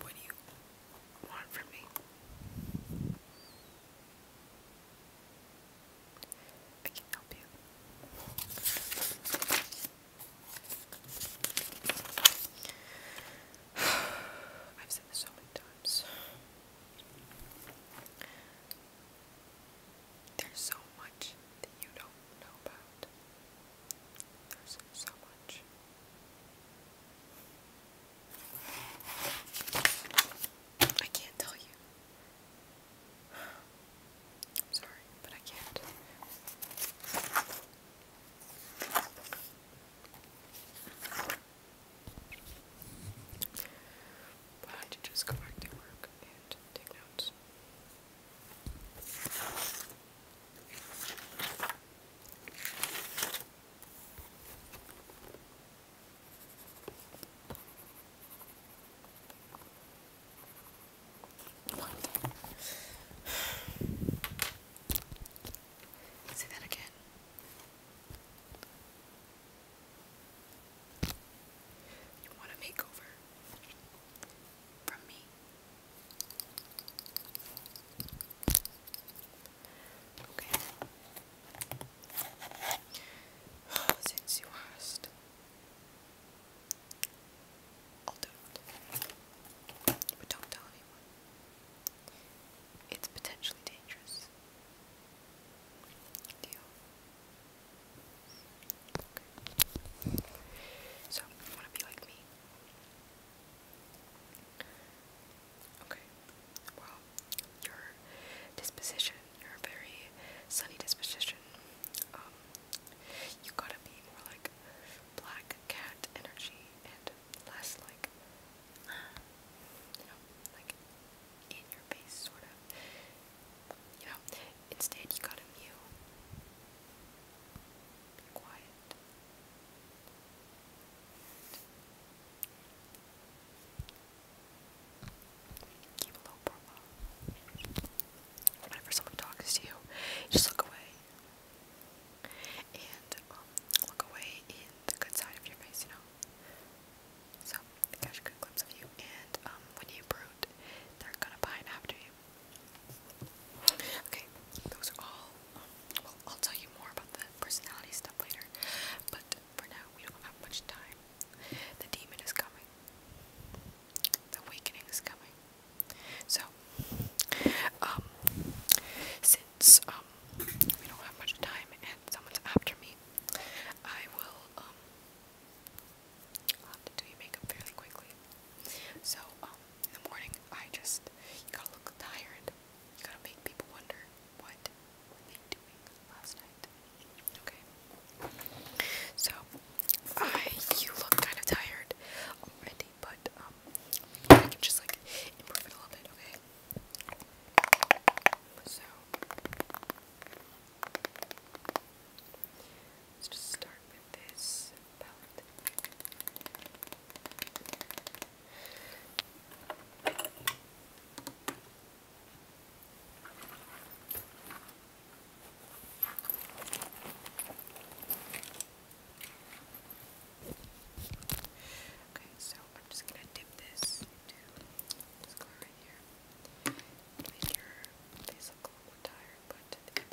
What do you want from me? I you. have said this so many times. There's so much that you don't know about. There's so much. I can't tell you. sorry, but I can't. But I had to just go back to work and take notes. Say that again. You want a makeover from me? Okay. Since you asked, But don't tell It's potentially dangerous. Deal. So, you want to be like me? Okay. Well, your disposition, you very sunny disposition. Um, you gotta be more like black cat energy and less like, you know, like in your face, sort of. You know, instead, you gotta mew. Be quiet. Keep a low profile. Whenever someone talks to you, just look away. And um, look away in the good side of your face, you know? So, they catch good glimpse of you, and um, when you brood, they're gonna pine after you. Okay, those are all well, I'll tell you more about the personality stuff later, but for now, we don't have much time. The demon is coming, the awakening is coming. So, um, since um, we don't have much time and someone's after me, I will, um, I'll have to do your makeup fairly quickly. So, um, in the morning, I just, you gotta look tired. You gotta make people wonder what were they last night? Okay. So, I, you look kind of tired already, but, um, I can just, like, improve it a little bit, okay? So, let's just start with this palette. Okay, so I'm just gonna dip this into this color here. Make your face look a little tired, but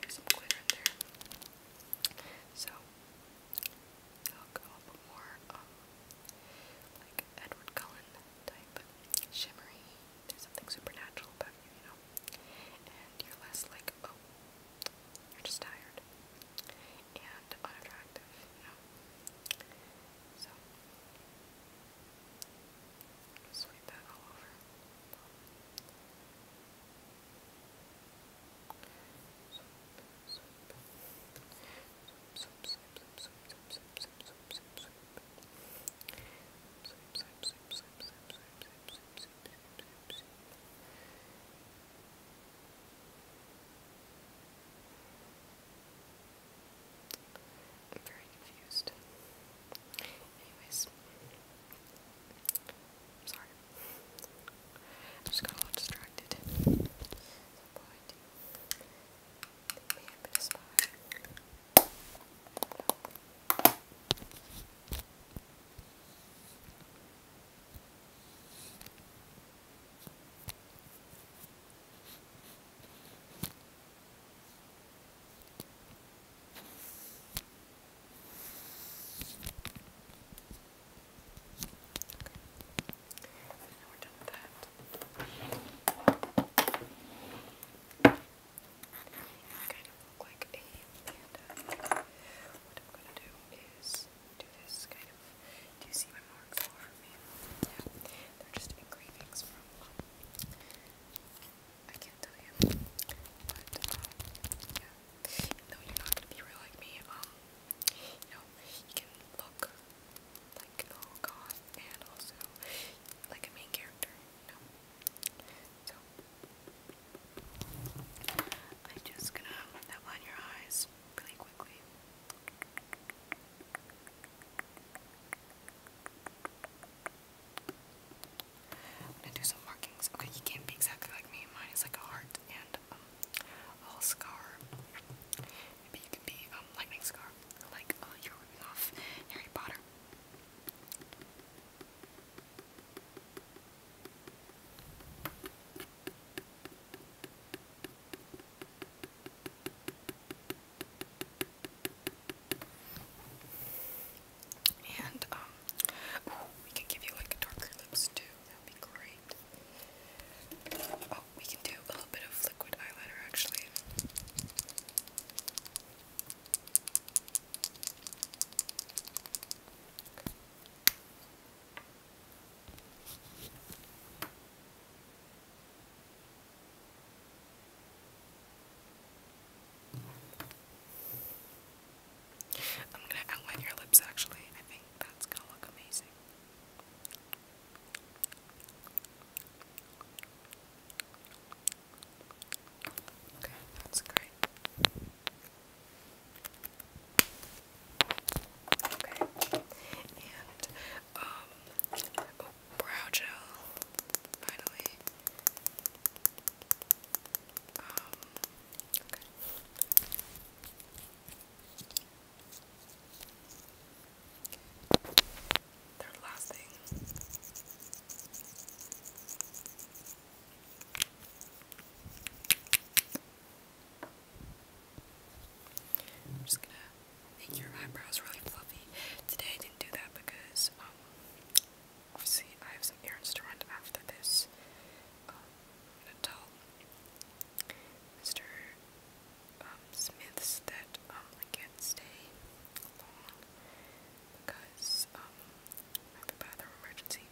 there's some glitter in there. So I'll go up a more, um, like Edward Cullen type, shimmery, there's something supernatural about you, you know, and you're less like, oh, you're just tired, and unattractive, you know, so, sweep that all over. Um, I'm very confused. Anyways, I'm sorry. I just got a lot distracted. Okay. kind of look like a panda. What I'm gonna do is do this kind of. Do you see my marks all over me? Yeah, they're just engravings from. I can't tell you, but yeah, even you're not gonna be real like me, um, you know, you can look like the oh whole goth and also like a main character, you know. So I'm just gonna outline your eyes really quickly. I'm gonna do some markings. Okay, you can't be exactly like me. Mine is like a heart and um, a scar. Maybe you can be um, lightning scar, like uh, you're off Harry Potter. And, um, we can give you like darker lips too. That'd be great. Oh, we can do a little bit of liquid eyeliner actually. I'm gonna outline your lips actually. I think that's gonna look amazing. Okay, that's great. Okay, and um, oh, brow gel. Finally, I'm just gonna make your eyebrows really fluffy. Today I didn't do that because um, obviously I have some errands to run after this. I'm to tell Mr. Smiths that I um, can't stay long because um, I have a emergency,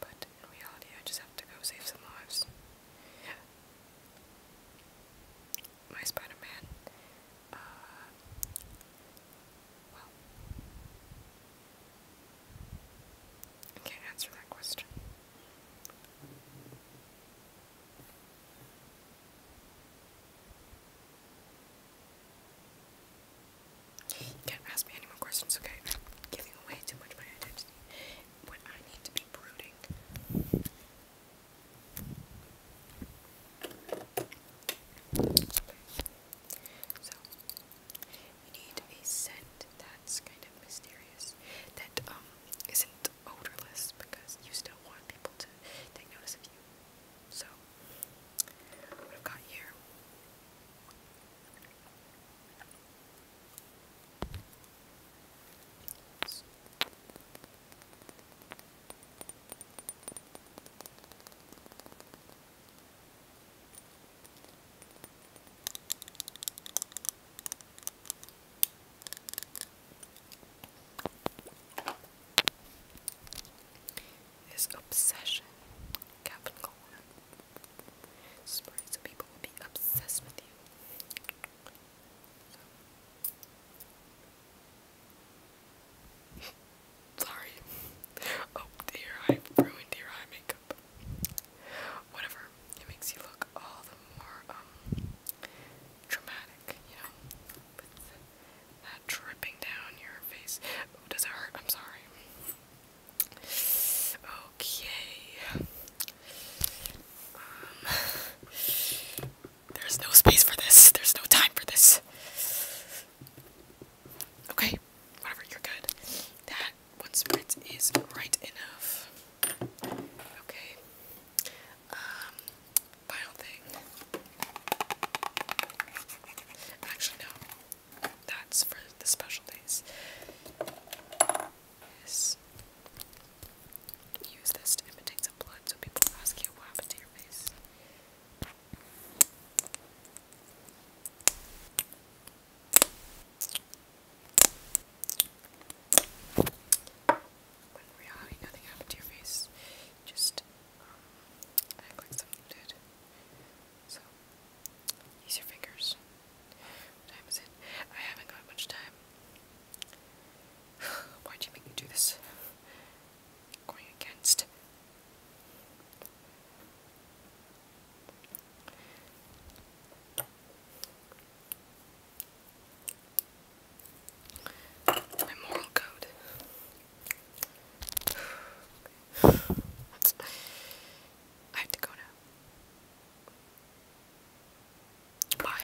but in reality I just have to go save some lives. My Spider-Man, uh, I can't answer that question. can't ask me any more questions, okay? giving away too much of my identity when I need to be brooding. So, you need a scent that's kind of mysterious, that um isn't odorless because you still want people to take notice of you. So, what have got here his obsession, Captain Coleman. Sorry, some people will be obsessed with you. Sorry. Oh dear, I ruined your eye makeup. Whatever. It makes you look all the more um, dramatic, you know. With that dripping down your face. Oh, does it hurt? I'm sorry. Okay. Um there's no space for this. There's no time for this. Okay, whatever, you're good. That one sprint is right enough. Okay. Um, final thing. Actually, no. That's for the special days. Yes. Use this to imitate some blood so people ask you what happened to your face. When reality nothing happened to your face, just um, act something did. So, use your fingers. What time I haven't got much time. Why'd you make me do this? Going against. My moral code. I have to go now. Bye.